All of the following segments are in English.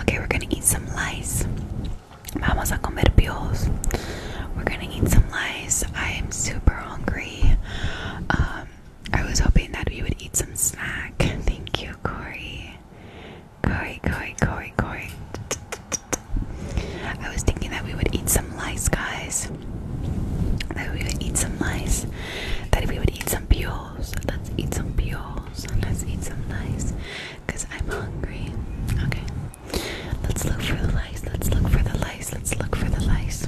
Okay, we're gonna eat some lice. Vamos a comer pios. We're gonna eat some lice. I am super hungry. Um, I was hoping that we would eat some snack. Thank you, Corey. Corey, Corey, Corey, Corey. I was thinking that we would eat some lice, guys. That we would eat some lice. That we would eat some pios peels. Let's eat some peels. Let's eat some lice. Cause I'm hungry. Okay. Let's look for the lice. Let's look for the lice. Let's look for the lice.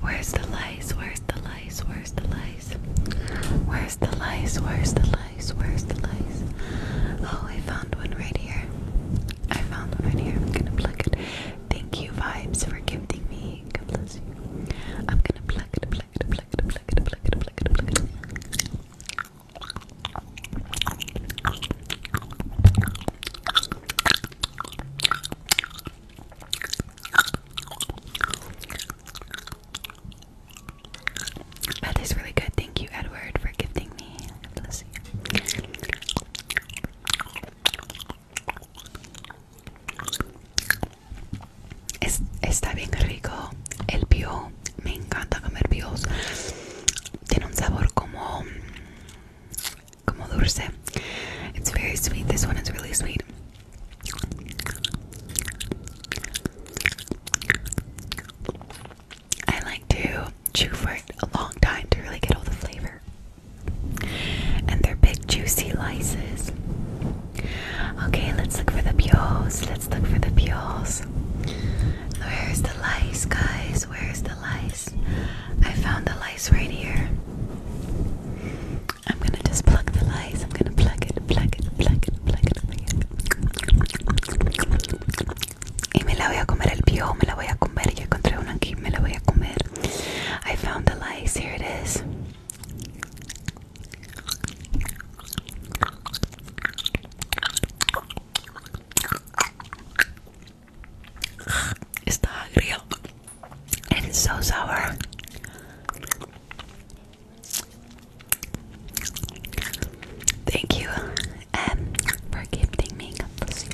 Where's the lice? Where's the lice? Where's the lice? Where's the lice? Where's the lice? Where's the lice? Oh, I found one right here. I found one right here. I'm gonna plug it. Thank you, Vibes, for gifting me I'm gonna pluck it, pluck it, pluck it, pluck it, pluck it, pluck it, pluck it. That is really good. Thank you, Edward, for giving me. God bless Es, está bien rico el pio. Me encanta comer pios. Tiene un sabor como como dulce. It's very sweet. This one is really sweet. I like to chew for a long time to really get all the flavor. And they're big juicy lices. Okay, let's look for the peels. Let's look for the peels. Where's the lice, guys? Where's the lice? I found the lice right here. I'm gonna just pluck the lice. I'm gonna pluck it, pluck it, pluck it, pluck it. Y me la voy a comer el piojo, me la voy a comer. Yo encontré uno aquí, me la voy a comer. I found the lice. Here it is. Está agrio and it's so sour. Thank you um, for gifting me a pussy.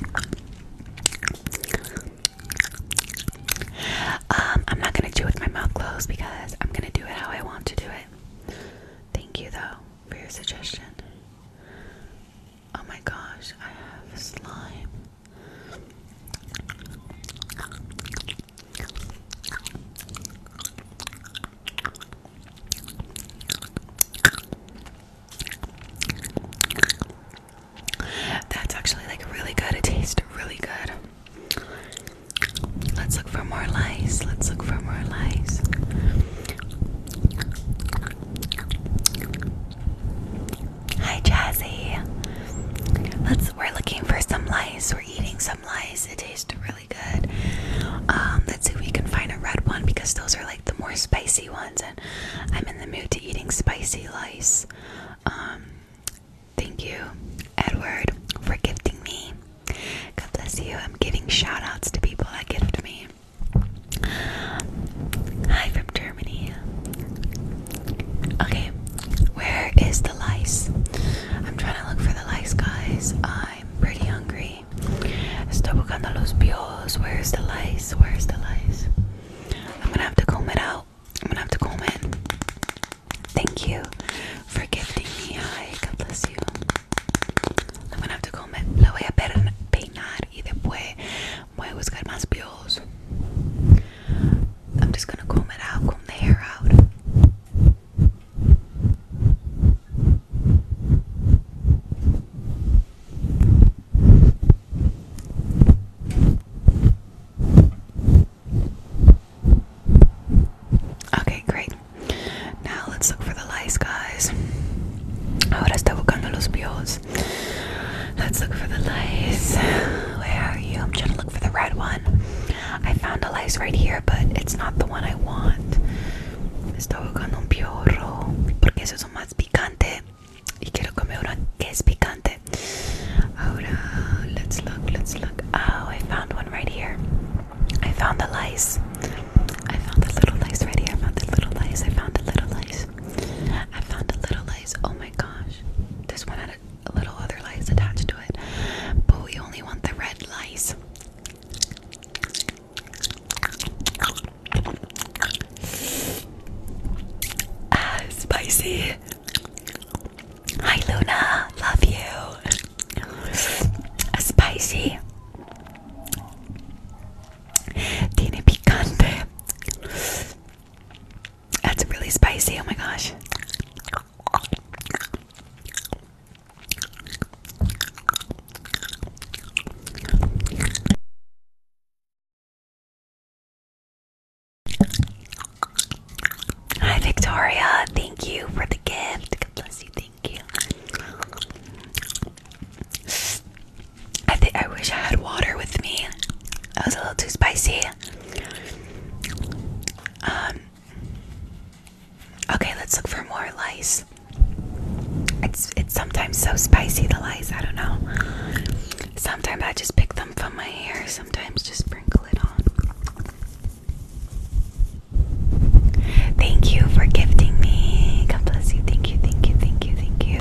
Um, I'm not gonna do with my mouth closed because I'm gonna do it how I want to do it. Thank you though for your suggestion. Oh my gosh, I have slime. That's actually like really good. It tastes really good. Let's look for more lice. Let's look for more lice. Hi, Jazzy. Let's. We're looking for some lice. We're eating some lice. It tastes really good. Um, let's see if we can find a red one because those are like the more spicy ones, and I'm in the mood to eating spicy lice. Um, Thank you, Edward, for gifting me. God bless you. I'm giving shout outs to people that gift me. Hi from Germany. Okay, where is the lice? I'm trying to look for the lice, guys. I'm pretty hungry. Estoy buscando los bios. Where's the lice? Where's the lice? I'm gonna have to comb it out. I'm gonna have to comb in. Thank you for giving me. I God bless you. I'm gonna have to comb in. La voy a peinar y después voy a buscar más pelos. I'm just gonna comb it out, comb the hair out. Ok, great. Now let's look for the lice, guys. Ahora está buscando los bios. Let's look for the lice. Where are you? I'm trying to look for the red one. I found a lice right here, but it's not the one I want. Está buscando un piorro. Porque esos son más picante. Y quiero comer uno que es picante. Oh no! let's look, let's look. Oh, I found one right here. I found the lice. I found the little lice right here. I found the little lice. I found the little lice. I found a little lice. Oh my gosh. This one had a, a little other lice attached to it. But we only want the red lice. Ah, spicy. Hi Luna, love you. A spicy. Tiene picante. That's really spicy. Oh my gosh. Hi, Victoria. Thank you for the gift. God bless you. Thank you. I wish I had water with me. That was a little too spicy. Um, okay, let's look for more lice. it's sometimes so spicy the lice. I don't know. Sometimes I just pick them from my hair, sometimes just sprinkle it on. Thank you for gifting me. God bless you. Thank you, thank you, thank you, thank you.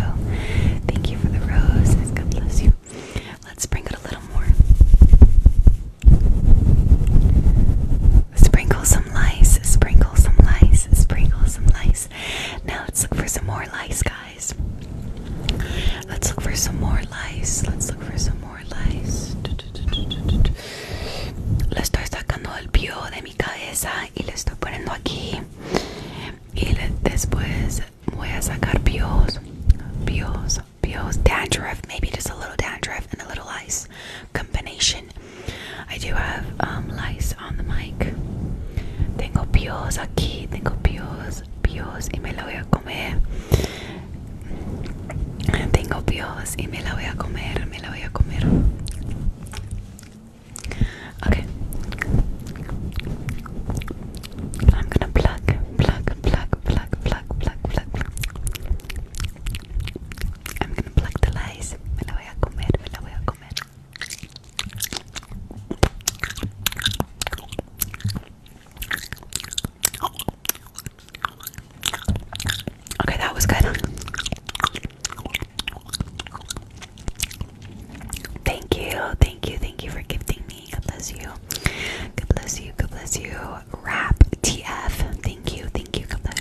Thank you for the roses. God bless you. Let's sprinkle a little more. Sprinkle some lice, sprinkle some lice, sprinkle some lice. Now it's for some more lice, guys. Let's look for some more lies. Let's look for some more lies. Lo estoy sacando el pio de mi cabeza y lo estoy poniendo aquí. Y le, después voy a sacar pios, pios, pios, dandruff, maybe just a little dandruff and a little lice combination. I do have um, lice on the mic. Tengo pios aquí, tengo pios pios y me la voy a comer. Tengo pios y me la voy a comer, me la voy a comer. Okay. I'm gonna plug, plug, plug, plug, plug, plug, plug. I'm gonna plug the lies. Me la voy a comer, me la voy a comer. Okay, that was good. Thank you, thank you, thank you for gifting me. God bless you. God bless you, God bless you. Rap TF. Thank you, thank you, God bless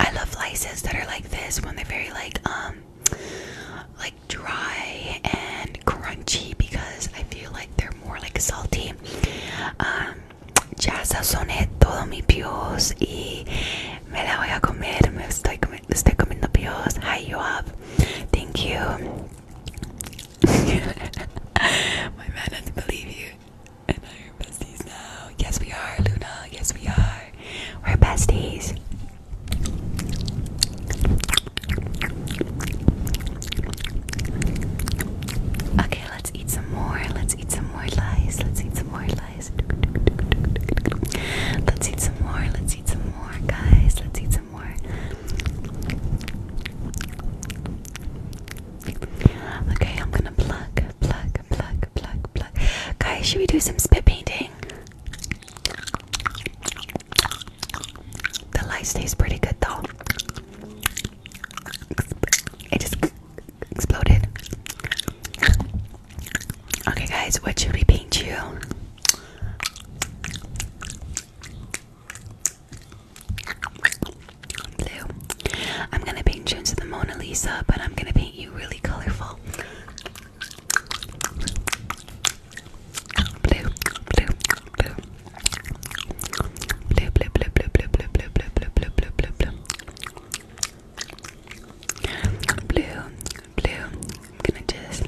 I love laces that are like this when they're very like um like dry and crunchy because I feel like they're more like salty. Um, ya todo mi pios y me la voy a comer. Me estoy, comiendo pios. Hi, you up. Thank you. My man doesn't believe you. Yes, we are, Luna. Yes, we are. We're besties. Okay, let's eat some more. Let's eat some more lies. Let's eat some more lies. Let's eat some more. Let's eat some more, guys. Let's eat some more. Okay, I'm gonna pluck, pluck, pluck, pluck, pluck. Guys, should we do some spit painting? The light tastes pretty good though. It just exploded. Okay, guys, what should we paint you? Blue. I'm gonna paint you into the Mona Lisa, but I'm gonna paint you really colorful blue, blue, blue. Blue, blue, blue, blue, blue, blue, blue, blue, blue, blue, blue, blue, blue. Blue, blue. I'm gonna just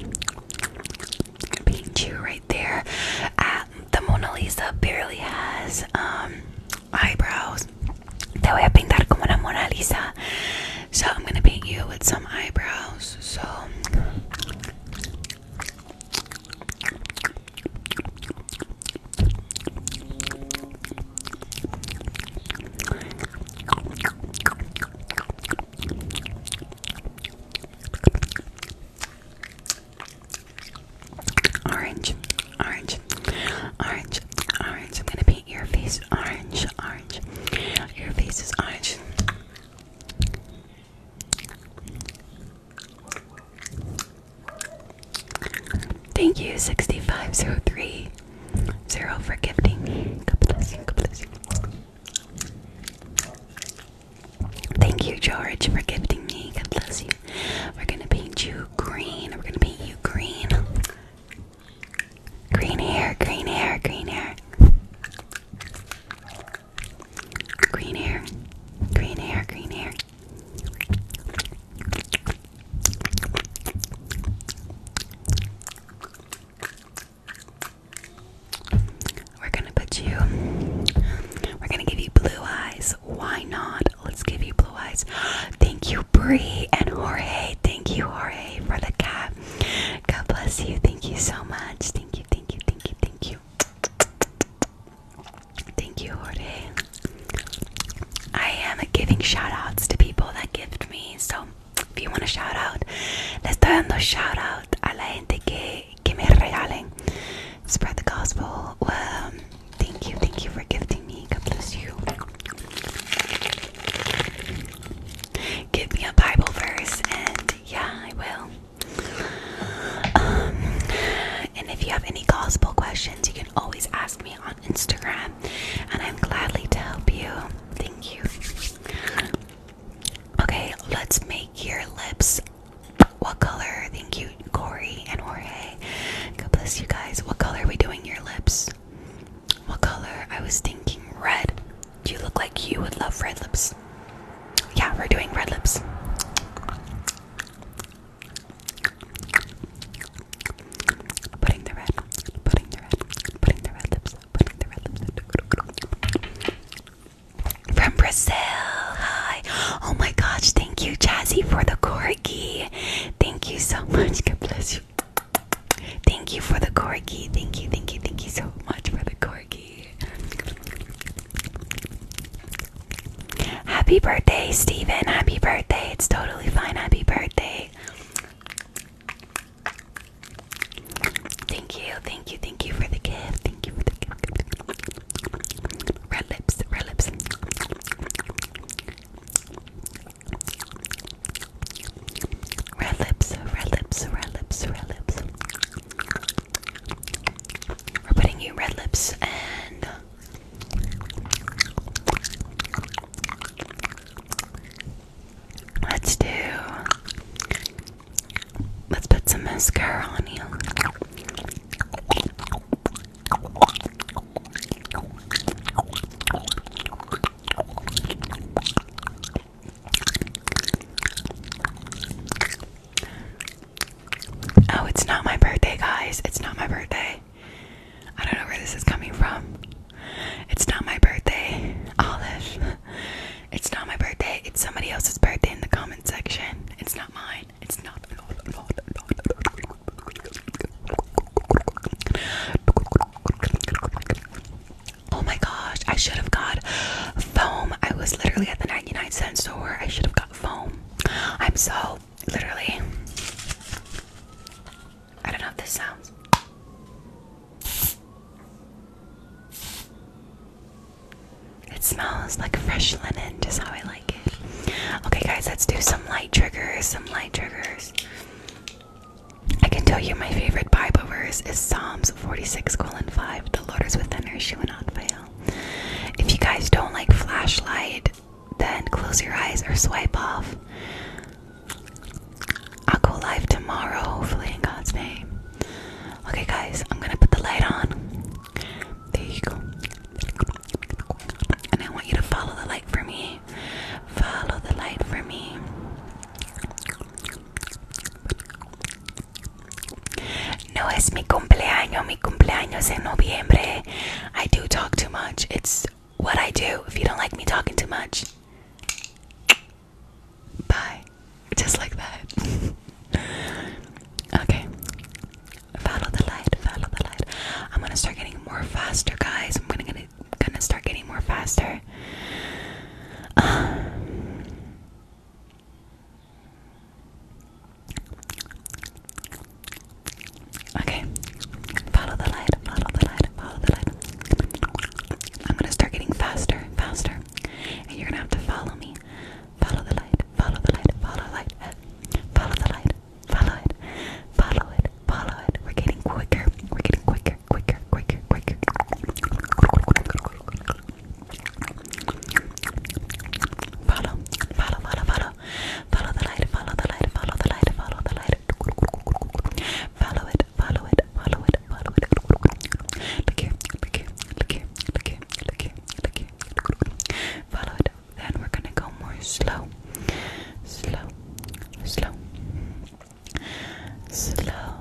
paint you right there. the Mona Lisa barely has eyebrows. Te voy a pintar como la Mona Lisa. So I'm gonna paint you with some eyebrows. So Orange, orange, orange, orange. I'm gonna paint your face orange, orange. Your face is orange. Thank you, 6503. Zero for gifting me. Thank you, George, for gifting me. God bless you. We're gonna paint you green. We're gonna paint you green. Green hair, green hair, green hair. Green hair, green hair, green hair. We're gonna put you, we're gonna give you blue eyes. Why not? Let's give you blue eyes. Thank you, Bree and Jorge. Thank you, Jorge, for the cap. God bless you. Thank you so much. Thank you, thank you, thank you, thank you. Thank you, Jorge. I am giving shout to people that gift me. So if you want a shout le estoy dando shout a la gente que, que me regalen. Spread the gospel. Um, thank you, thank you for gifting me. God bless you. Give me a Bible verse, and yeah, I will. Um, and if you have any gospel questions, you can always ask me on Instagram, and I'm gladly to help you. Thank you. Okay, let's make your lips. What color? Thank you, Corey and Jorge. God bless you guys. What color are we doing your lips? What color? I was thinking red. You look like you would love red lips. Yeah, we're doing red lips. Putting the red, putting the red, putting the red lips, putting the red lips. From Brazil, hi. Oh my gosh, thank you, Jazzy, for the corgi. Thank you so much. God bless you. Thank you for the corgi. Thank you, thank you, thank you so much for the corgi. Happy. birthday, Stephen! Happy birthday. It's totally fine. Happy birthday. Thank you, thank you, thank you for the gift. Thank you for the gift. red lips. Red lips, red lips, red lips, red lips. We're putting you red lips and let's do let's put some mascara on you. Oh, it's not my birthday, guys. It's not my birthday. I don't know where this is coming from. It's not my birthday, Olive. It's not my birthday. It's somebody else's birthday in the comment section. It's not mine. It's not. Oh my gosh, I should have got foam. I was literally at the 99 cent store. I should have got foam. I'm so literally. I don't know if this sounds. It smells like fresh linen, just how I like it. Okay, guys, let's do some light triggers. Some light triggers. I can tell you my favorite Bible verse is Psalms 46 colon 5. The Lord is within her, she will not fail. If you guys don't like flashlight, then close your eyes or swipe off. I'll go live tomorrow, hopefully, in God's name. Okay, guys, I'm gonna put the light on. There you go. And I want you to follow the light for me. Follow the light for me. No, es mi cumpleaños. Mi cumpleaños en noviembre. I do talk too much. It's what I do. If you don't like me talking too much, bye. Just like that. okay. Follow the light. Follow the light. I'm gonna start getting more faster, guys. I'm gonna gonna, gonna start getting more faster. Um, Okay. Follow the light, follow the light, follow the light. I'm gonna start getting faster, faster. And you're gonna have to follow me. Follow the light, follow the light, follow the light. Follow the light, follow it, follow it, follow it. We're getting quicker, we're getting quicker, quicker, quicker, quicker. Follow, follow, follow, follow. Follow the light, follow the light, follow the light, follow the light. Follow it, follow it, follow it, follow it. Look here, look here, look here, look here, look here, look here. Follow it. Then we're gonna go more slow. Slow, slow, slow.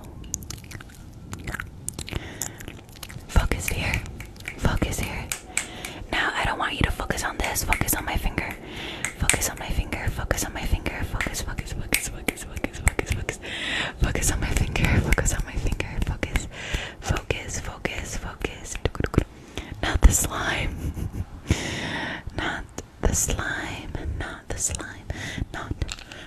Focus here. Focus here. Now I don't want you to focus on this. Focus on my finger. Focus on my finger. Focus on my finger. Focus, focus, focus, focus, focus, focus, focus. Focus on my finger. Focus on my finger. Focus. Focus, focus, focus. Not the slime. Not the slime. Not the slime. Not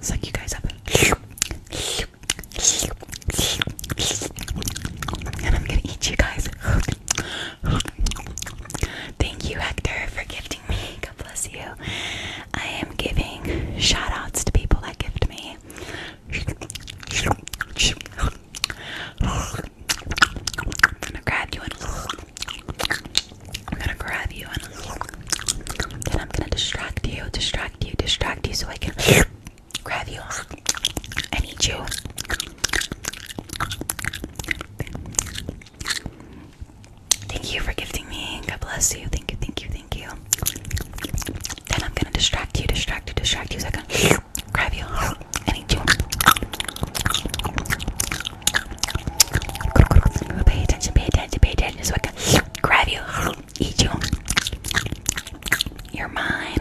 Suck you guys up. And I'm gonna eat you guys. Thank you, Hector, for gifting me. God bless you. I am giving shout outs to people that gift me. I'm gonna grab you and I'm gonna grab you and then I'm gonna distract you, distract you, distract you so I can grab you and eat you. Thank you for gifting me. God bless you. Thank you, thank you, thank you. Then I'm gonna distract you, distract you, distract you so I can grab you and eat you. Pay attention, pay attention, pay attention so I can grab you, eat you. You're mine.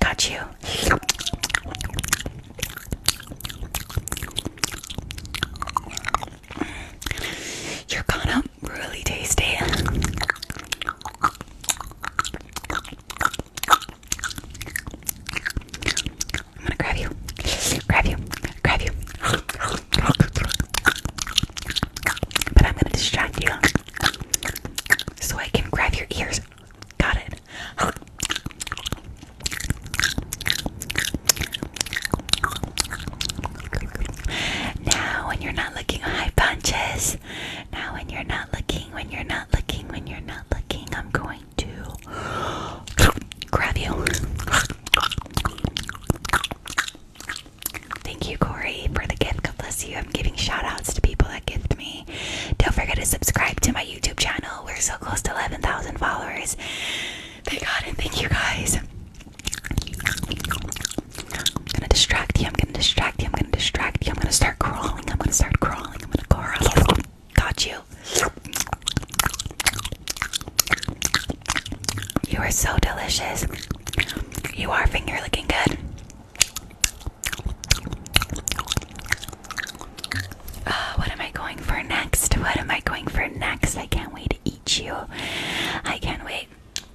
Got you. You're gonna really tasty. I'm gonna grab you, grab you, grab you. But I'm gonna distract you so I can grab your ears. Got it. Now, when you're not looking high punches, now, when you're not looking, when you're not looking, when you're not looking, I'm going to grab you. Thank you, Corey, for the gift. God bless you. I'm giving shout outs to people that gift me. Don't forget to subscribe to my YouTube channel. We're so close to 11,000 followers. Thank God and thank you guys. I'm gonna distract you. I'm gonna distract you. I'm gonna distract you. I'm gonna start crawling. I'm gonna start crawling. I'm gonna crawl. Got you. You are so delicious. You are finger looking good. Uh, what am I going for next? What am I going for next? I can't wait to eat you. I can't wait.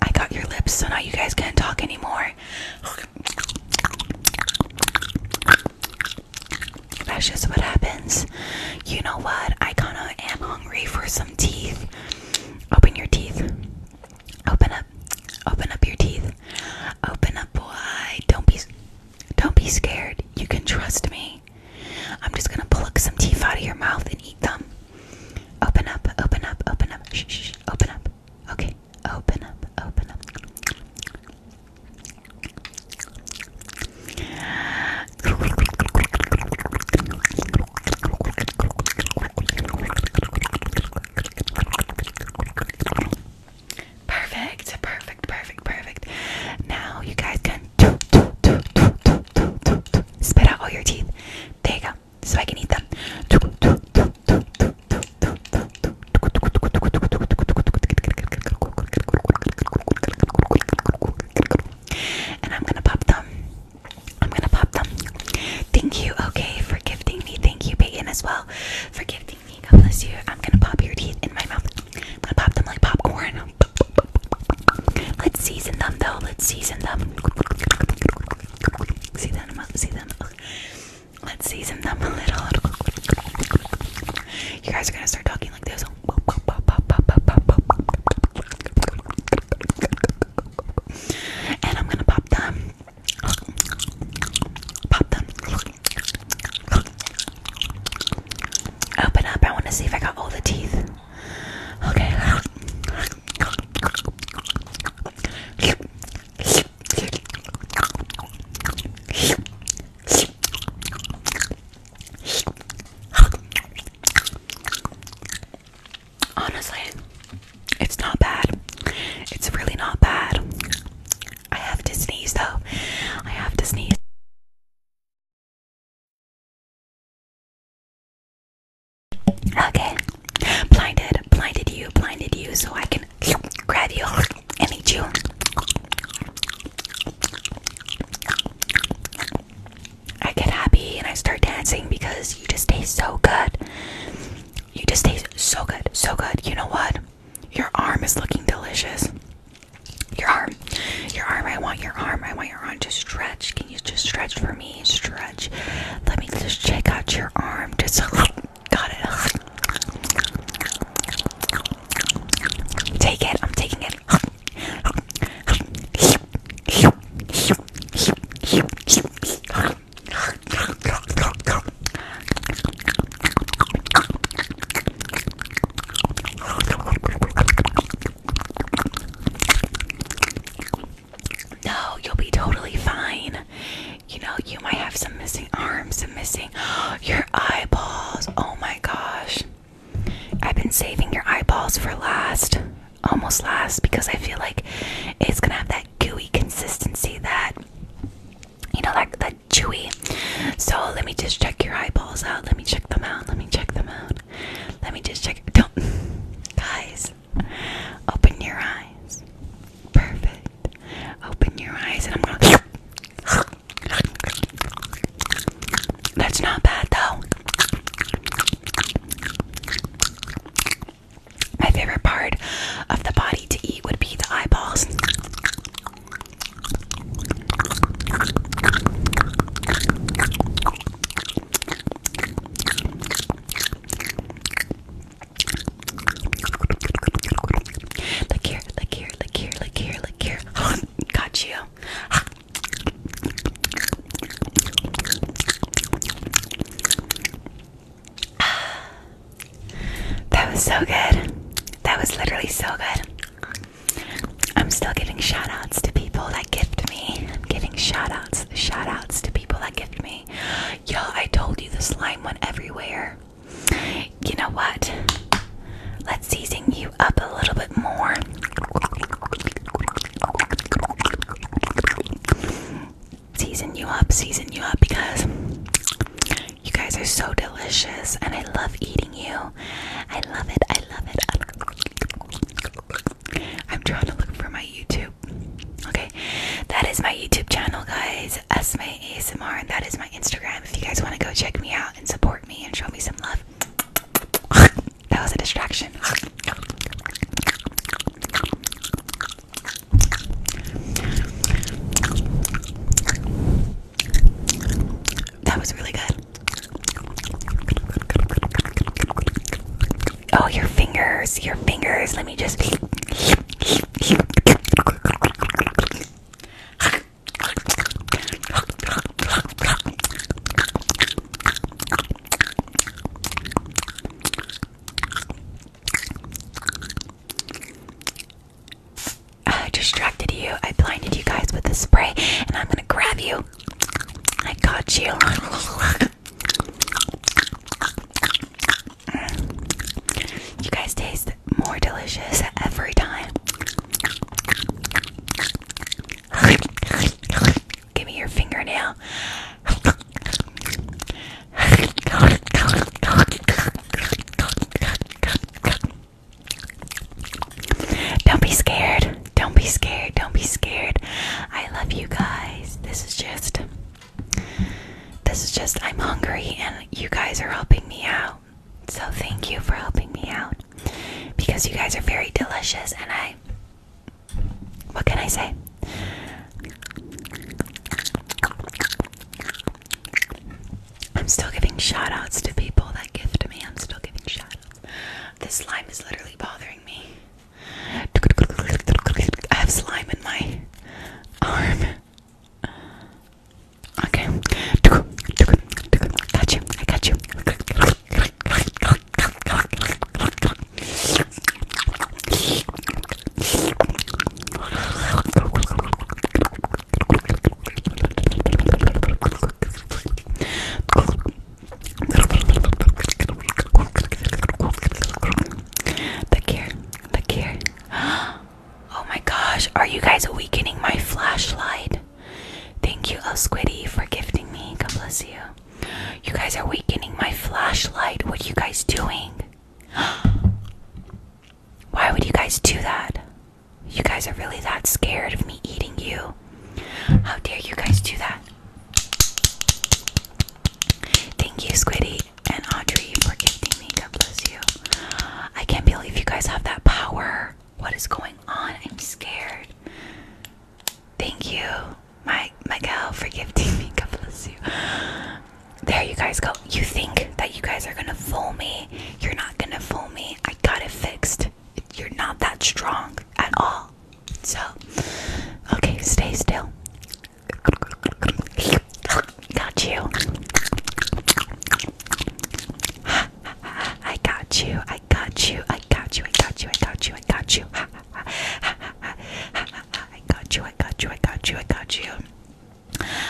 I got your lips, so now you guys can't talk anymore. That's just what happens. You know what? I kind of am hungry for some teeth. Open your teeth. Open up. Open up your teeth. Open up, boy. Don't be, don't be scared. You can trust me. I'm just gonna pluck some teeth out of your mouth and eat them. Open up, open up, open up. Shh, shh, shh. open up. Okay, open up, open up. Perfect, perfect, perfect, perfect. Now you guys can Spit out all your teeth. There you go. So I can eat them. And I'm gonna pop them. I'm gonna pop them. Thank you, okay, for gifting me. Thank you, Peyton, as well, for gifting me. God bless you. I'm gonna pop your teeth in my mouth. I'm gonna pop them like popcorn. Let's season them though. Let's season them. See them, see them. Let's season them a little. You guys are gonna start talking like this. And I'm gonna pop them. Pop them. Open up. I want to see if I got all the teeth. Okay. Honestly, it's not bad. It's really not bad. I have to sneeze though. I have to sneeze. Okay. Blinded, blinded you, blinded you, so I can grab you and eat you. I get happy and I start dancing because you just taste so good. You just taste so good, so good. You know what? Your arm is looking delicious. Your arm. Your arm. I want your arm. I want your arm to stretch. Can you just stretch for me? Stretch. Let me just check out your arm. Just got it. Take it. I'm taking it. No, you'll be totally fine. You know, you might have some missing arms, some missing your eyeballs. Oh my gosh. I've been saving your eyeballs for last, almost last, because I feel like it's gonna have that gooey consistency that you know like that chewy. So let me just check your eyeballs out. Let me check them out. Let me check them out. Let me just check. Don't, guys, open your eyes. Perfect. Open your eyes, and I'm gonna. That's not bad, though. My favorite part of the body to eat would be the eyeballs. Look here, look here, look here, look here, look here. Got you. That was so good. That was literally so good. I'm still giving shout outs to people that gift me. giving shout outs, shout outs to people that gift me. Yo, I told you the slime went everywhere. You know what? Let's season you up a little bit more. Season you up, season you up because you guys are so delicious and I love eating you. I love it, I love it. I'm trying to look for my YouTube. Okay, that is my YouTube channel, guys. Esme ASMR, and that is my Instagram. If you guys want to go check me out and support me and show me some love, that was a distraction. That was really good. Oh, your fingers, your fingers. Let me just. distracted you. I blinded you guys with the spray, and I'm gonna grab you I got you. You guys taste more delicious every time. Give me your fingernail. Don't be scared. Don't be scared. Don't be scared. I love you guys. This is just this is just I'm hungry and you guys are helping me out. So thank you for helping me out. Because you guys are very delicious and I what can I say? I'm still giving shout outs to people that gift me. I'm still giving shout outs. This slime is literally bothering me. I have slime in my arm. Okay. Look here, look here. Oh my gosh, are you guys weakening my flashlight? Thank you, Love Squiddy, for gifting me. God bless you. You guys are weakening my flashlight. What are you guys doing? Why would you guys do that? You guys are really that scared of me eating you. How dare you guys do that? Thank you, Squiddy and Audrey, for giving me. God bless you. I can't believe you guys have that power. What is going on? I'm scared. Thank you, my Miguel, for giving me. God bless you. There you guys go. You think that you guys are gonna fool me? You're not gonna fool me. I got it fixed you're not that strong at all. So, okay, stay still. Got you. I got you. I got you. I got you. I got you. I got you. I got you. I got you. I got you. I got you. I got you.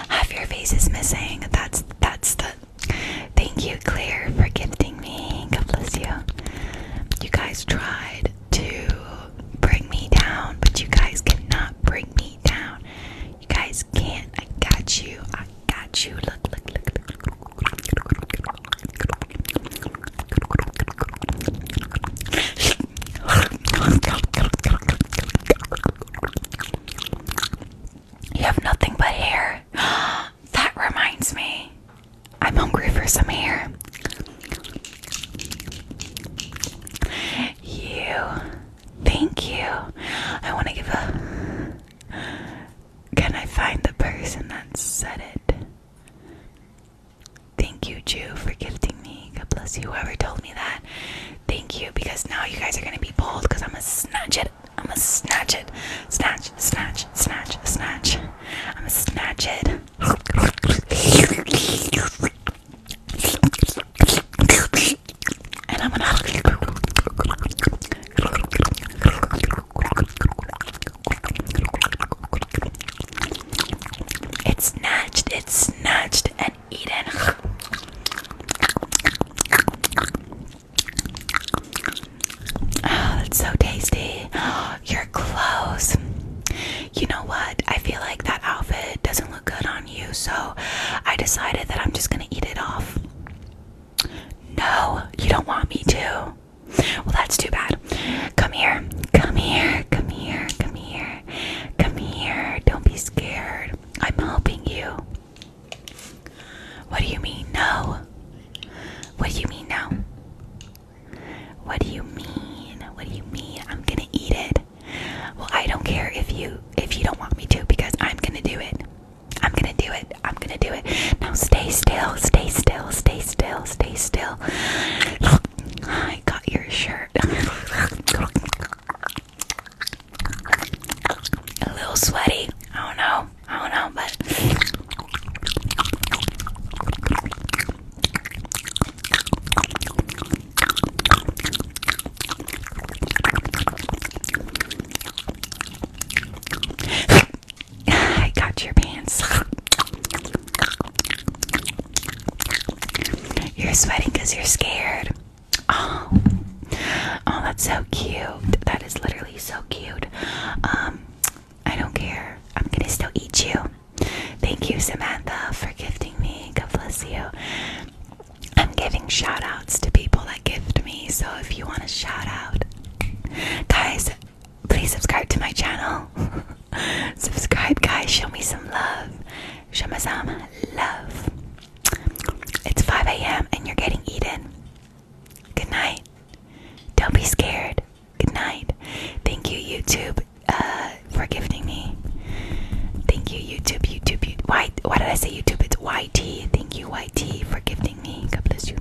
Half your face is missing. That's that's the Thank you, Claire, for gifting me. God bless you. You guys tried to bring me down, but you guys cannot bring me down. You guys can't. I got you. I got you. Look, look, look, look. You have nothing but hair. that reminds me. I'm hungry for some hair. You, thank you. I want to give a. Can I find the person that said it? Thank you, Jew, for gifting me. God bless you, whoever told me that. Thank you, because now you guys are gonna be bold because I'm gonna snatch it I'm gonna snatch it. Snatch, snatch, snatch, snatch. I'm gonna snatch it. And I'm gonna. It's snatched, it's snatched and eaten. Oh, that's so tasty. Your clothes. You know what? I feel like that outfit doesn't look good on you, so I decided that I'm just gonna eat it off. No, you don't want me to. Well, that's too bad. Come here, come here, come here, come here, come here. Don't be scared. I'm helping you. What do you mean, no? What do you mean now? What do you mean? What do you mean? I'm gonna eat it. Well, I don't care if you if you don't want me to because I'm gonna do it. I'm gonna do it. I'm gonna do it. Now stay still, stay still, stay still, stay still. I got your shirt. A little sweaty. I don't know. I don't know, but I got your pants. You're sweating because you're scared. Oh, oh, that's so cute. That is literally so cute. Um, I don't care. I'm gonna still eat you. Thank you, Samantha, for gifting me. God bless you. I'm giving shout outs to people that gift me, so if you want a shout out, guys, please subscribe to my channel. subscribe, guys. Show me some love. Show me some love. It's 5 a.m. and you're getting eaten. Good night. Don't be scared. Good night. Thank you, YouTube, uh, for gifting me. Thank you, YouTube, YouTube. YouTube. Why? Why did I say YouTube? It's YT. Thank you, YT, for gifting me. God bless you.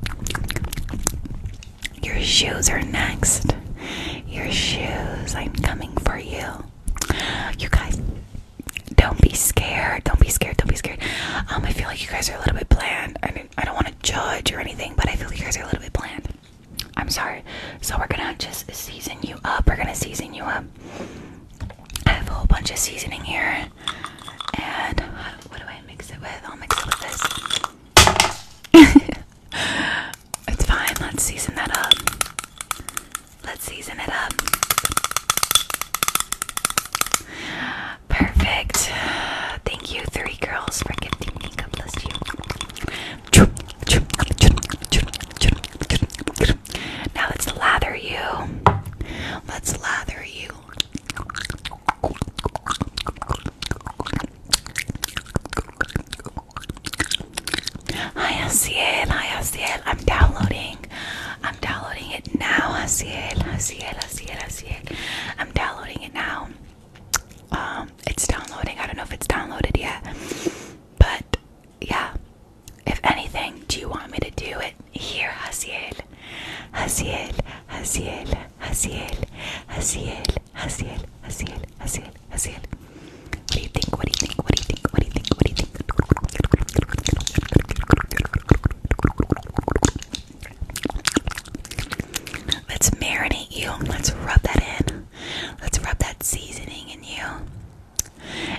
Your shoes are next. Your shoes. I'm coming for you. You guys, don't be scared. Don't be scared. Don't be scared. Um, I feel like you guys are a little bit bland. I don't want to judge or anything, but I feel you guys are a little bit bland. I'm sorry. So we're gonna just season you up. We're gonna season you up. I have a whole bunch of seasoning here, and what do I mix it with? I'll mix it with this. it's fine. Let's season that up. Let's season it up. Perfect. Thank you, three girls, for gifting me. God bless you. Now let's lather you. Let's lather you. Hi, Asiel. Hi, Asiel. I'm downloading. I'm downloading it now, Asiel. Asiel, Asiel, Asiel. I'm downloading it now now. Um, it's downloading. I don't know if it's downloaded yet, but yeah. If anything, do you want me to do it here, Hasiel? Hasiel, Hasiel, Hasiel, Hasiel, Hasiel, Hasiel, Hasiel, Hasiel. What do you think? What do you think? What do you think? What do you think? What do you think? Let's marinate you. Let's rub that in. Let's rub that seasoning in you.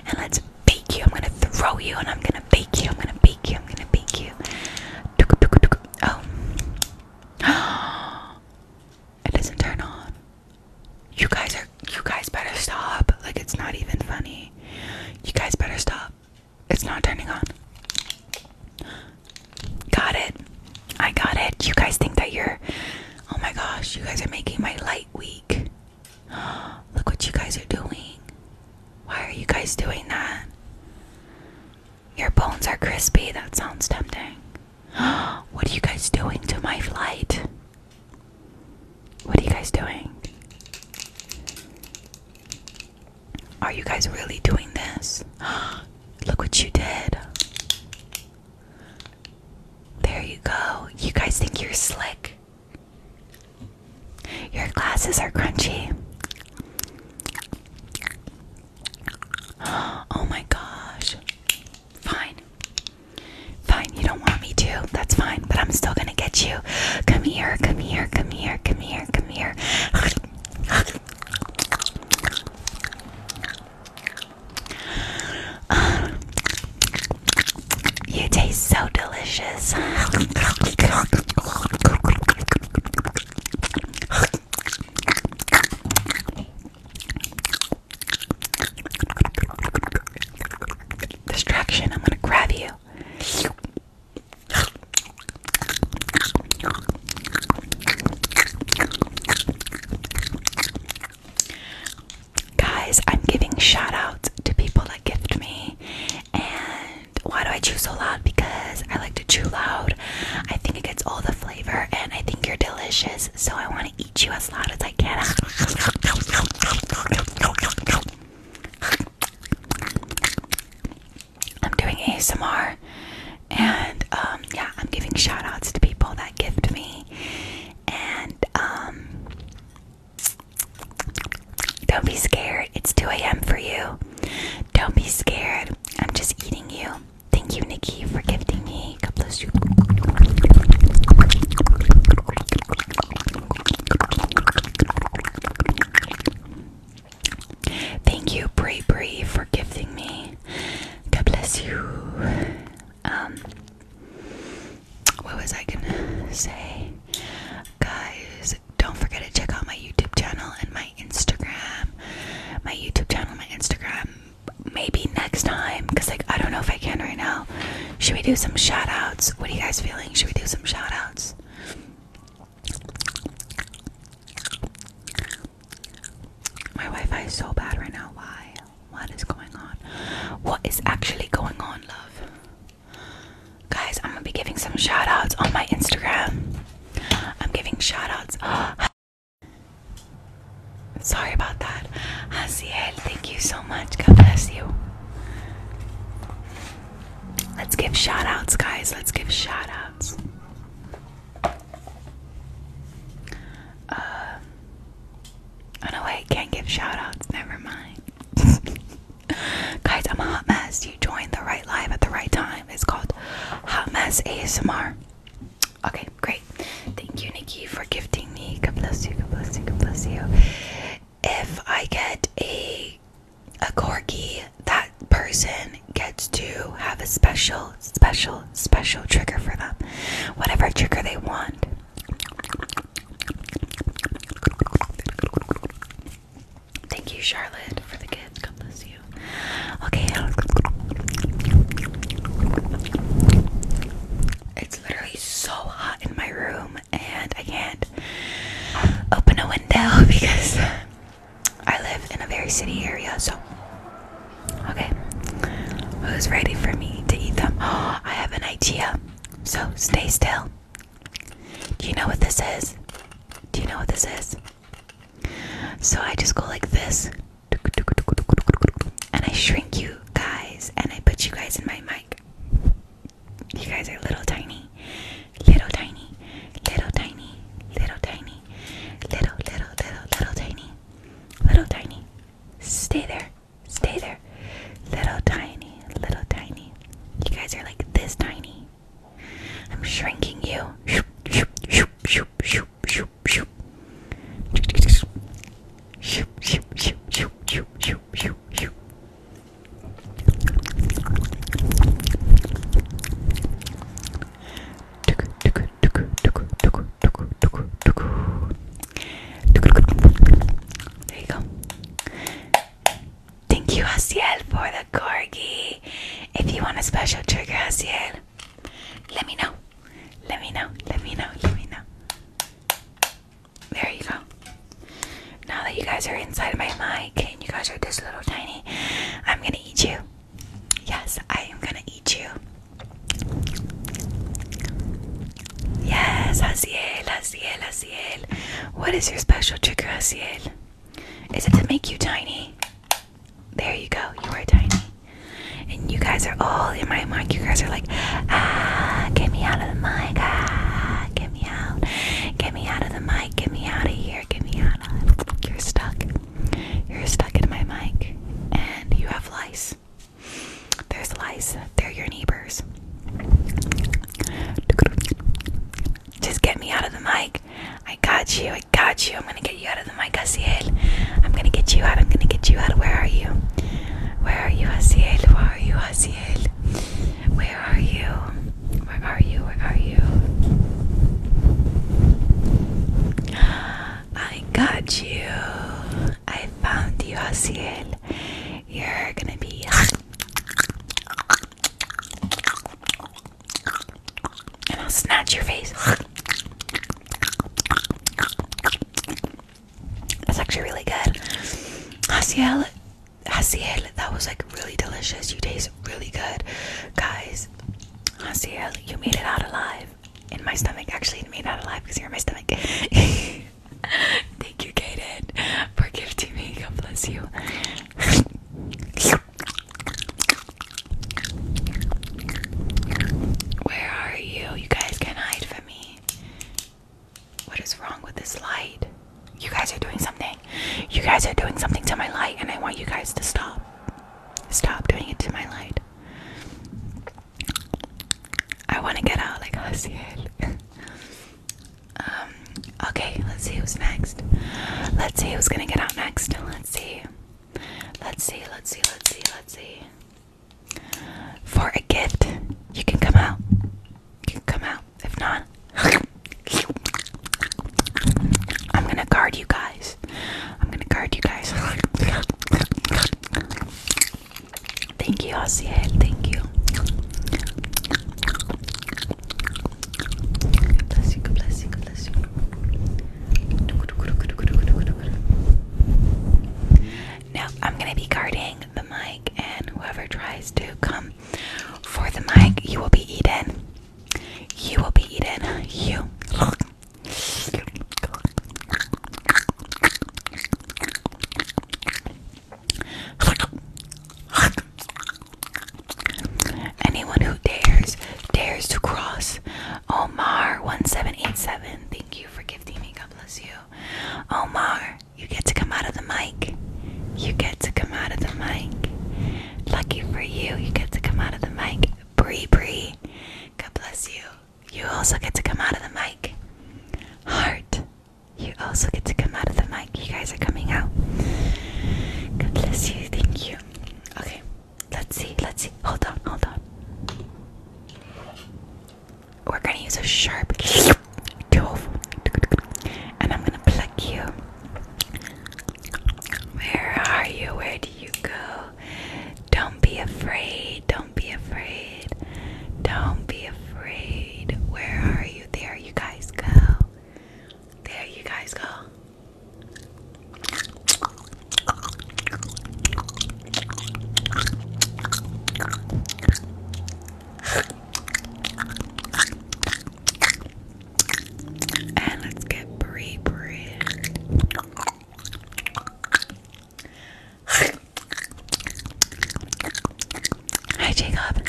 And let's bake you. I'm gonna throw you and I'm gonna bake you. I'm gonna bake you. I'm gonna bake you. Oh. It doesn't turn on. You guys are you guys better stop. Like it's not even funny. You guys better stop. It's not turning on. Got it. I got it. You guys think that you're. Oh my gosh, you guys are making my light weak. Look what you guys are doing. Why are you guys doing that? Your bones are crispy. That sounds tempting. What are you guys doing to my flight? What are you guys doing? Are you guys really doing this? Look what you did. There you go. You guys think you're slick. Your glasses are crunchy. Oh my gosh. Fine. Fine, you don't want me to. That's fine, but I'm still gonna get you. Come here, come here, come here, come here, come here. You taste so delicious. Distraction, I'm gonna grab you. Guys, I'm giving shout outs to people that gift me. And why do I chew so loud? Because I like to chew loud. I think it gets all the flavor and I think you're delicious. So I want to eat you as loud as I can. I'm doing ASMR and um, yeah, I'm giving shout outs to people that gift me and um, don't be scared. It's 2 a.m. for you. Don't be scared. I'm just eating you. Thank you, Nikki, for giving me. Thank you, Bray Bray, for gifting me. God bless you. Um, what was I gonna say? Guys, don't forget to check out my YouTube channel and my Instagram. My YouTube channel, my Instagram. Maybe next time, because like I don't know if I can right now. Should we do some shoutouts? What are you guys feeling? Should we do some shoutouts? My Wi-Fi is so bad right now. Why? What is going on? What is actually going on, love? Guys, I'm gonna be giving some shout outs on my Instagram. I'm giving shout outs. Sorry about that. Haziel, thank you so much. God bless you. Let's give shout outs, guys. Let's give shout outs. Uh, um, no, wait, can't give shout Never mind. Guys, I'm a hot mess. You joined the right live at the right time. It's called Hot Mess ASMR. Okay, great. Thank you, Nikki, for gifting me. God bless you, God bless you, God bless you. If I get a a corgi that person gets to have a special, special, special trigger for them. Whatever trigger they want. Thank you, Charlotte, for the gift. God bless you. Okay. Um, it's literally so hot in my room, and I can't open a window because I live in a very city area, so okay. Who's ready for me to eat them? Oh, I have an idea. So stay still. Do you know what this is? Do you know what this is? So I just go like this, and I shrink you guys, and I put you guys in my mic. You guys are little tiny, little tiny, little tiny, little tiny, little, little, little, little tiny, little tiny. Stay there, stay there, little tiny, little tiny. You guys are like this tiny. I'm shrinking you. Shoop, shoop, shoop, shoop, shoop, shoop, shoop. Shoop, shoop, shoop, shoop, shoop, shoop, shoop, shoop. There you go. Thank you, Asiel, for the corgi. If you want a special trigger, Asiel, let me know. Let me know. Let me know. Let me know. There you go. Now that you guys are inside my mic and you guys are this little tiny, I'm gonna eat you. Yes, I am gonna eat you. Yes, Haziel, Haziel, Haziel. What is your special trigger, Haziel? Is it to make you tiny? There you go, you are tiny. And you guys are all in my mic. You guys are like, ah, get me out of the mic, ah, get me out, get me out of the mic, get me out of here here, give me Hannah. You're stuck. You're stuck in my mic, and you have lice. There's lice. They're your neighbors. Just get me out of the mic. I got you. I got you. I'm gonna get you out of the mic, Asiel. I'm gonna get you out. I'm gonna get you out. Where are you? Where are you, Asiel? Where are you, Asiel? Where are you? Where are you? Where are you? I got you. I found you, Asiel. You're gonna be. And I'll snatch your face. That's actually really good. Asiel, Asiel, that was like really delicious. You taste really good, guys guys. Asiel, you made it out alive. In my stomach, actually, made it out alive because you're in my stomach. Thank you, Kaden, Forgive me. God bless you. Where are you? You guys can hide from me. What is wrong with this light? You guys are doing something. You guys are doing something to my light, and I want you guys to stop. Stop doing it to my light. I want to get out like Haciel. um, okay, let's see who's next. Let's see who's gonna get out next. Let's see. Let's see, let's see, let's see, let's see. For a gift, you can come out. You can come out. If not, I'm gonna guard you guys. I'm gonna guard you guys. Thank you, Ossie. Thank you. God bless you. Now I'm gonna be guarding the mic and whoever tries to come for the mic you will be eaten. You will be eaten. You. Anyone who dares, dares to cross. Omar1787, thank you for gifting me. God bless you. Omar, you get to come out of the mic. You get to come out of the mic. Lucky for you, you get to come out of the mic. Bri Bri. God bless you. You also get to come out of the mic. Heart, you also get to come out of the mic. You guys are coming out. God bless you. Thank you. Okay, let's see. Let's see. Hold on. Hold on. We're gonna use a sharp tool, and I'm gonna plug you. Where are you? Where do you go? Don't be afraid. Don't be afraid. Don't be afraid. Where are you? There you guys go. There you guys go. And let's get Brie Brie. Hi, Jacob.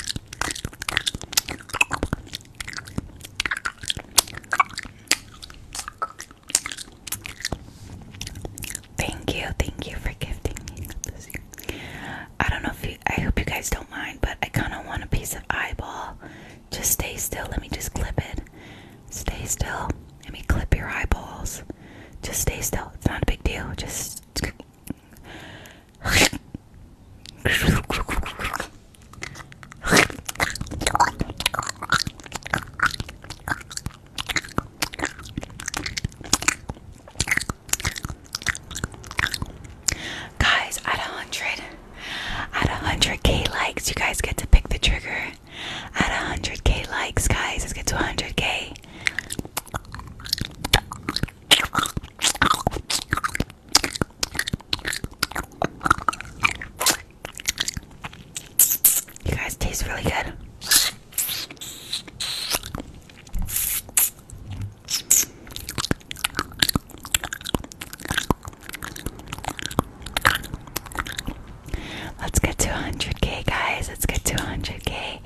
Thank you, thank you for gifting me I don't know if I hope you guys don't mind, but I kind of want a piece of eyeball just stay still. Let me just clip it. Stay still. Let me clip your eyeballs. Just stay still. It's not a big deal. Just. Guys, at 100, at 100k likes, you guys get to pick the trigger. At 100k likes, guys, let's get to 100k. You guys taste really good. Let's get to 100k, guys. Let's get to 100k.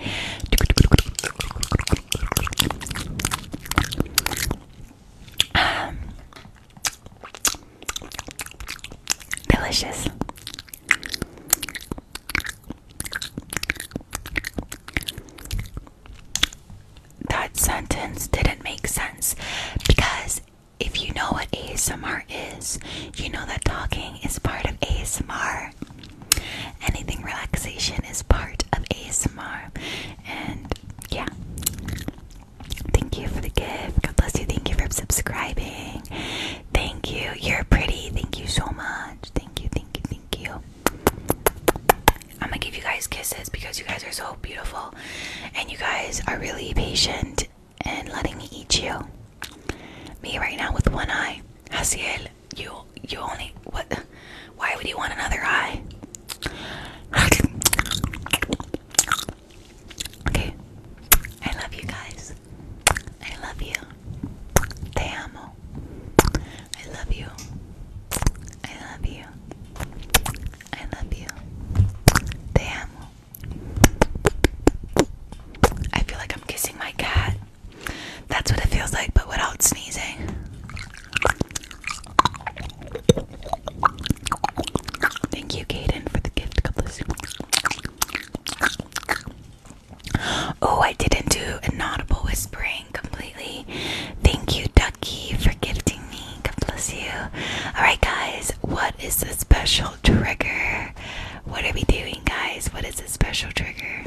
Um, delicious that sentence didn't make sense because if you know what ASMR is, you know that talking is part of ASMR. Anything relaxation is part of ASMR. And yeah. Thank you for the gift. God bless you. Thank you for subscribing. Thank you. You're pretty. Thank you so much. Thank you. Thank you. Thank you. I'm gonna give you guys kisses because you guys are so beautiful and you guys are really patient and letting me eat you. Me right now with one eye. Hasiel, you you only what why would you want another eye? Okay. I love you guys. I love you. Te amo. I love you. I love you. I love you. Te I feel like I'm kissing my cat. That's what it feels like, but without sneezing. Thank you, Kaden, for the gift couples. Oh, I didn't do an audible whispering completely. Thank you, Ducky, for gifting me God bless you. Alright, guys, what is the special trigger? What are we doing, guys? What is the special trigger?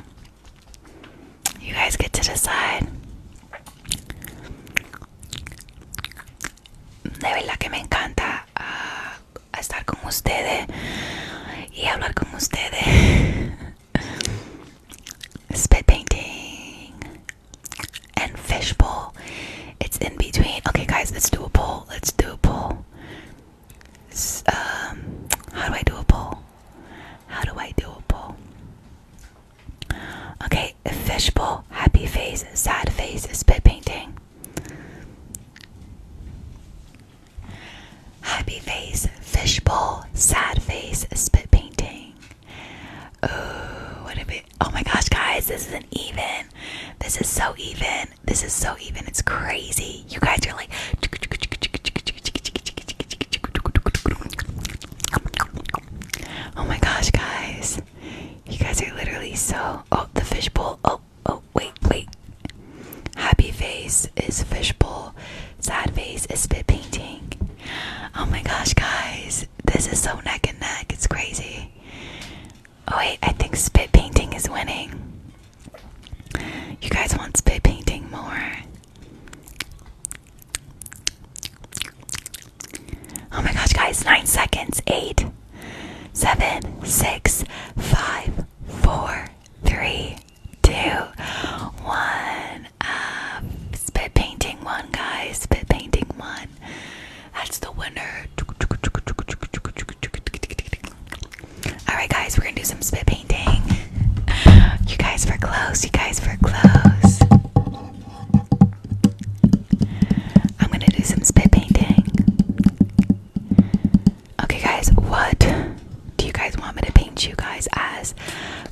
You guys get to decide. De verdad que me encanta ah, estar con ustedes y hablar con ustedes. Spit and fishbowl. It's in between. Okay, guys, let's do a poll. Let's do a poll. Um, how do I do a poll? How do I do a poll? Okay, fishbowl, happy face, sad face, spit painting. Happy face, fishbowl, sad face, spit painting. Oh, what a oh my gosh, guys, this isn't even. This is so even. This is so even. It's crazy. You guys are like, oh my gosh, guys. You guys are literally so. Oh, the fishbowl. Oh, oh, wait, wait. Happy face is fishbowl. Sad face is spit painting. Oh my gosh, guys. This is so neck and neck. It's crazy. Oh wait, I think spit painting is winning. You guys want spit painting more? Oh my gosh, guys! Nine seconds. Eight, seven, six, five, four, three, two, one. Uh, spit painting one, guys. Spit painting one. That's the winner. Alright, guys, we're gonna do some spit painting. You guys were close, you guys were close. I'm gonna do some spit painting. Okay, guys, what do you guys want me to paint you guys as?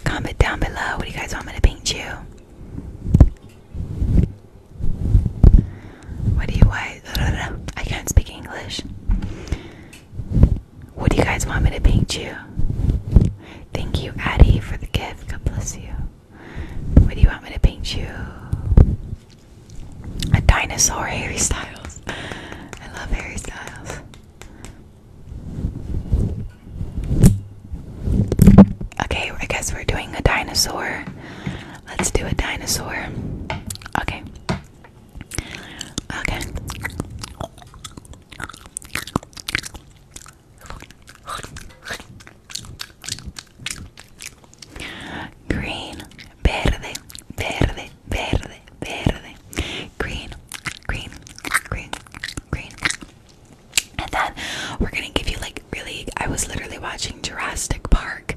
Comment down below. What do you guys want me to paint you? What do you want? I can't speak English. What do you guys want me to paint you? Thank you, Addie, for the gift. God bless you. What do you want me to paint you? A dinosaur, Harry Styles. I love Harry Styles. Okay, I guess we're doing a dinosaur. Let's do a dinosaur. Okay. Okay. Green, verde, verde, verde, verde. Green, green, green, green and then we're gonna give you like really I was literally watching Jurassic Park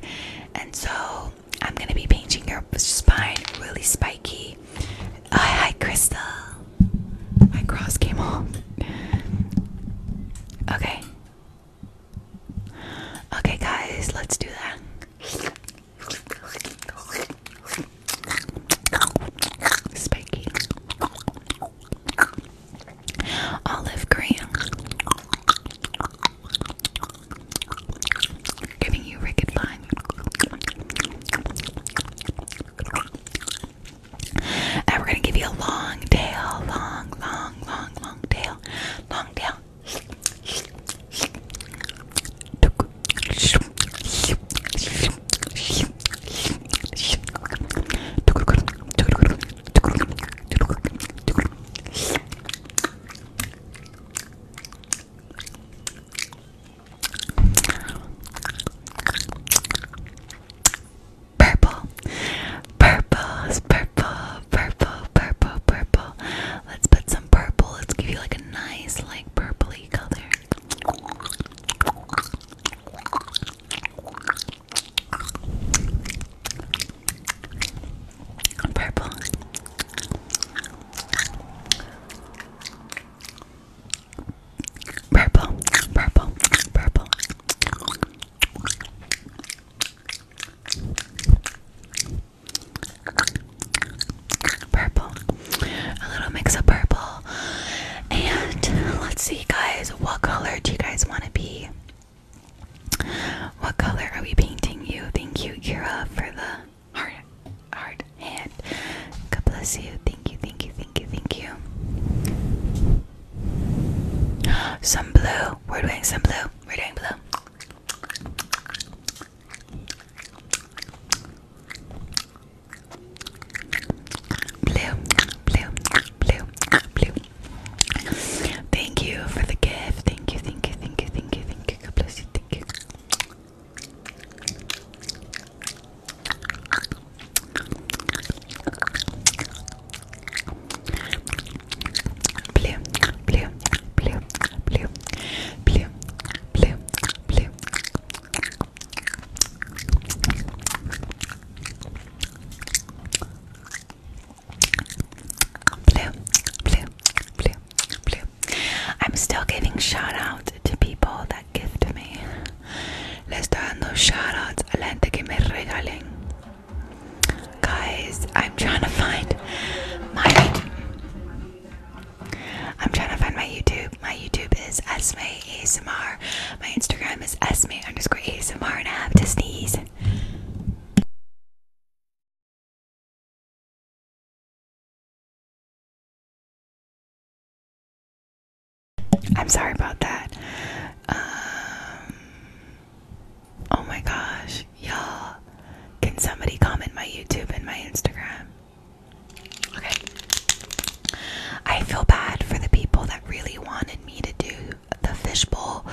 and so I'm gonna be painting your spine really spiky. Uh, hi Crystal. My cross came off. Okay. Okay guys, let's do that. Spiky olive green. Giving you wicked fun. And we're gonna give you a long tail, long, long, long, long tail, long tail. Purple, purple purple, purple, purple, purple. Let's put some purple. Let's give you like a nice, like purpley color. Purple. Purple, purple, purple. Purple. A little mix of purple and let's see, guys, what color do you guys want to be? What color are we painting you? Thank you, Kira, for the heart, heart hand. God bless you. Thank you, thank you, thank you, thank you. Some blue. We're doing some blue. We're doing blue. Blue, blue, blue, blue. Thank you for the gift. Thank you, thank you, thank you, thank you, thank you. thank you. Blue, blue, blue, blue, blue, blue, blue. Blue, blue, blue, blue. I'm still giving shout out to people that gift me. Le estoy dando shout outs a la gente que me regalen. Guys, I'm trying to find my I'm trying to find my YouTube. My YouTube is Esme ASMR. My Instagram is sm underscore ASMR and I have to sneeze. I'm sorry about that. Um, oh my gosh, y'all. Can somebody comment my YouTube and my Instagram? Okay. I feel bad for the people that really wanted me to do the fishbowl.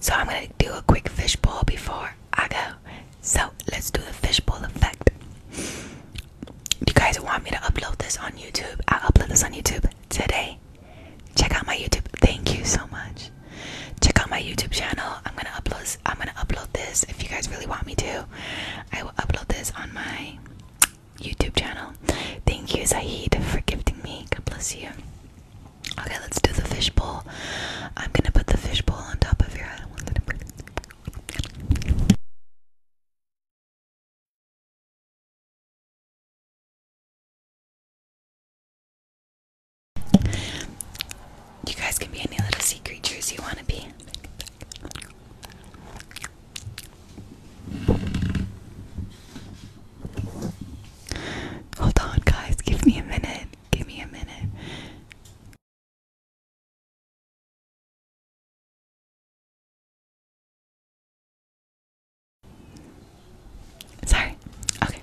So I'm going to do a quick fishbowl before I go. So let's do the fishbowl effect. You guys want me to upload this on YouTube? i upload this on YouTube today. Check out my YouTube. Thank you so much. Check out my YouTube channel. I'm gonna upload. I'm gonna upload this if you guys really want me to. I will upload this on my YouTube channel. Thank you, Zaid, for gifting me. God bless you. Okay, let's do the fishbowl. I'm gonna put the fishbowl on top of your head. You guys can be any little sea creatures you want to be. Hold on, guys. Give me a minute. Give me a minute. Sorry. Okay.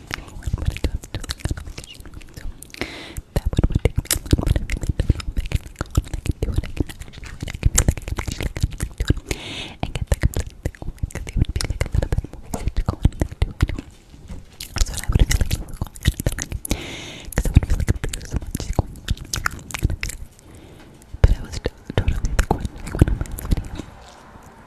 anyone when it comes to like communication. So that one would take me a little bit of time. I don't know if I can go on and I can do it. I can actually, I can feel like I can actually kind of like do it and get the completely over because it would be like a little bit more easy to go on and like do it. That's what I would feel like if we were going on and like, because I would feel like there's so much going on and I feel like but I was totally like wondering when I'm on this video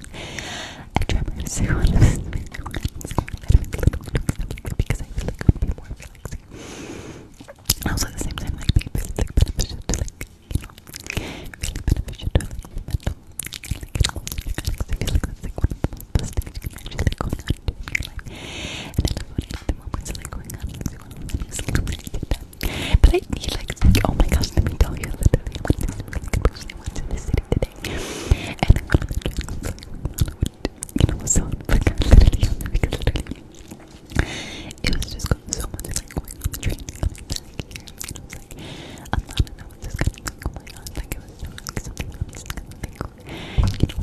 I try my best one of these because I feel like it would be more relaxing. also the same time, like, they feel like beneficial to like, you know, really beneficial to like mental, like, and all the mechanics. I feel like that's like one of the most best things you can actually like going on in your life. And I love when the moments are like going on, like, you want to really slowly get done. But I need like, oh my gosh, let me tell you, literally, I went to, like, I went to the city today everything. you it was just going so much like going on the train It was like a lot of noises kind of like oh my it was like something was kind of like oh just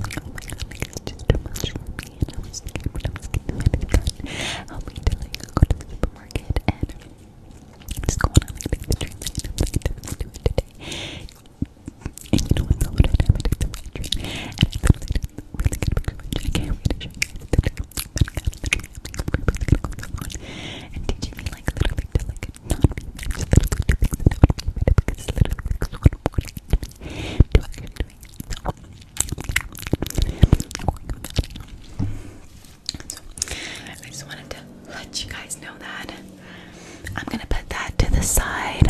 too much for me and I was scared when I was getting my big gun. Help me to like go to the supermarket and just go on like the train like, you know, like, do it today. And you know what? I'm going to have to take the dream. And I feel like it's really good because I can't wait to show you guys the video. But I got literally really going to go on and teaching me like little things that like not be just little things that don't be better because it's literally like so important to me to actually do it. So, I'm going to go back now. So, I just wanted to let you guys know that. I'm gonna put that to the side.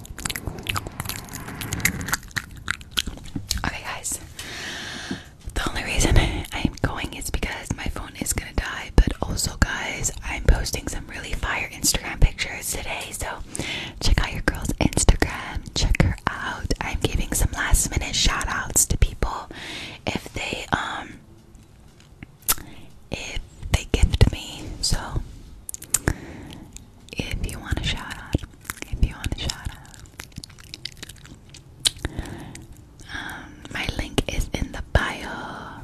Okay, guys. The only reason I'm going is because my phone is gonna die, but also, guys, I'm posting some really fire Instagram pictures today. So check out your girl's Instagram. Check her out. I'm giving some last minute shout outs to people if they um if they gift me. So if you want a shout out, if you want a shout out, um, my link is in the bio.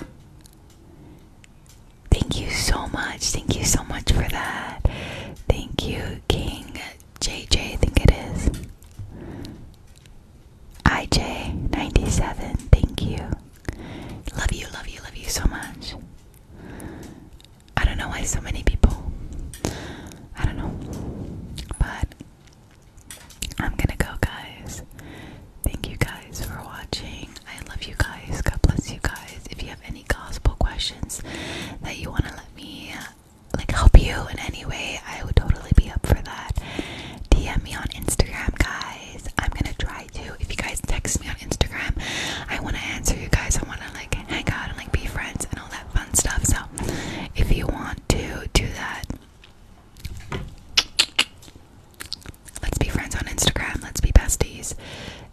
Thank you so much. Thank you so much for that. Thank you, King JJ. I think it is. IJ97, thank you. Love you, love you, love you so much. I don't know why so many people. I don't know. But I'm gonna go, guys. Thank you guys for watching. I love you guys. God bless you guys. If you have any gospel questions that you want to let me like help you in any way, I would totally be up for that. DM me on Instagram, guys. I'm gonna try to. If you guys text me on Instagram, I wanna answer you guys. I wanna like hang out and like be friends and all that fun stuff. So if you want to do that, let's be friends on Instagram. Let's be besties.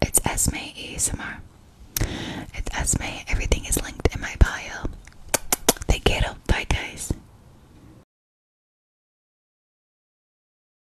It's Esme ASMR. It's Esme. Everything is linked in my bio. Take care. Bye guys.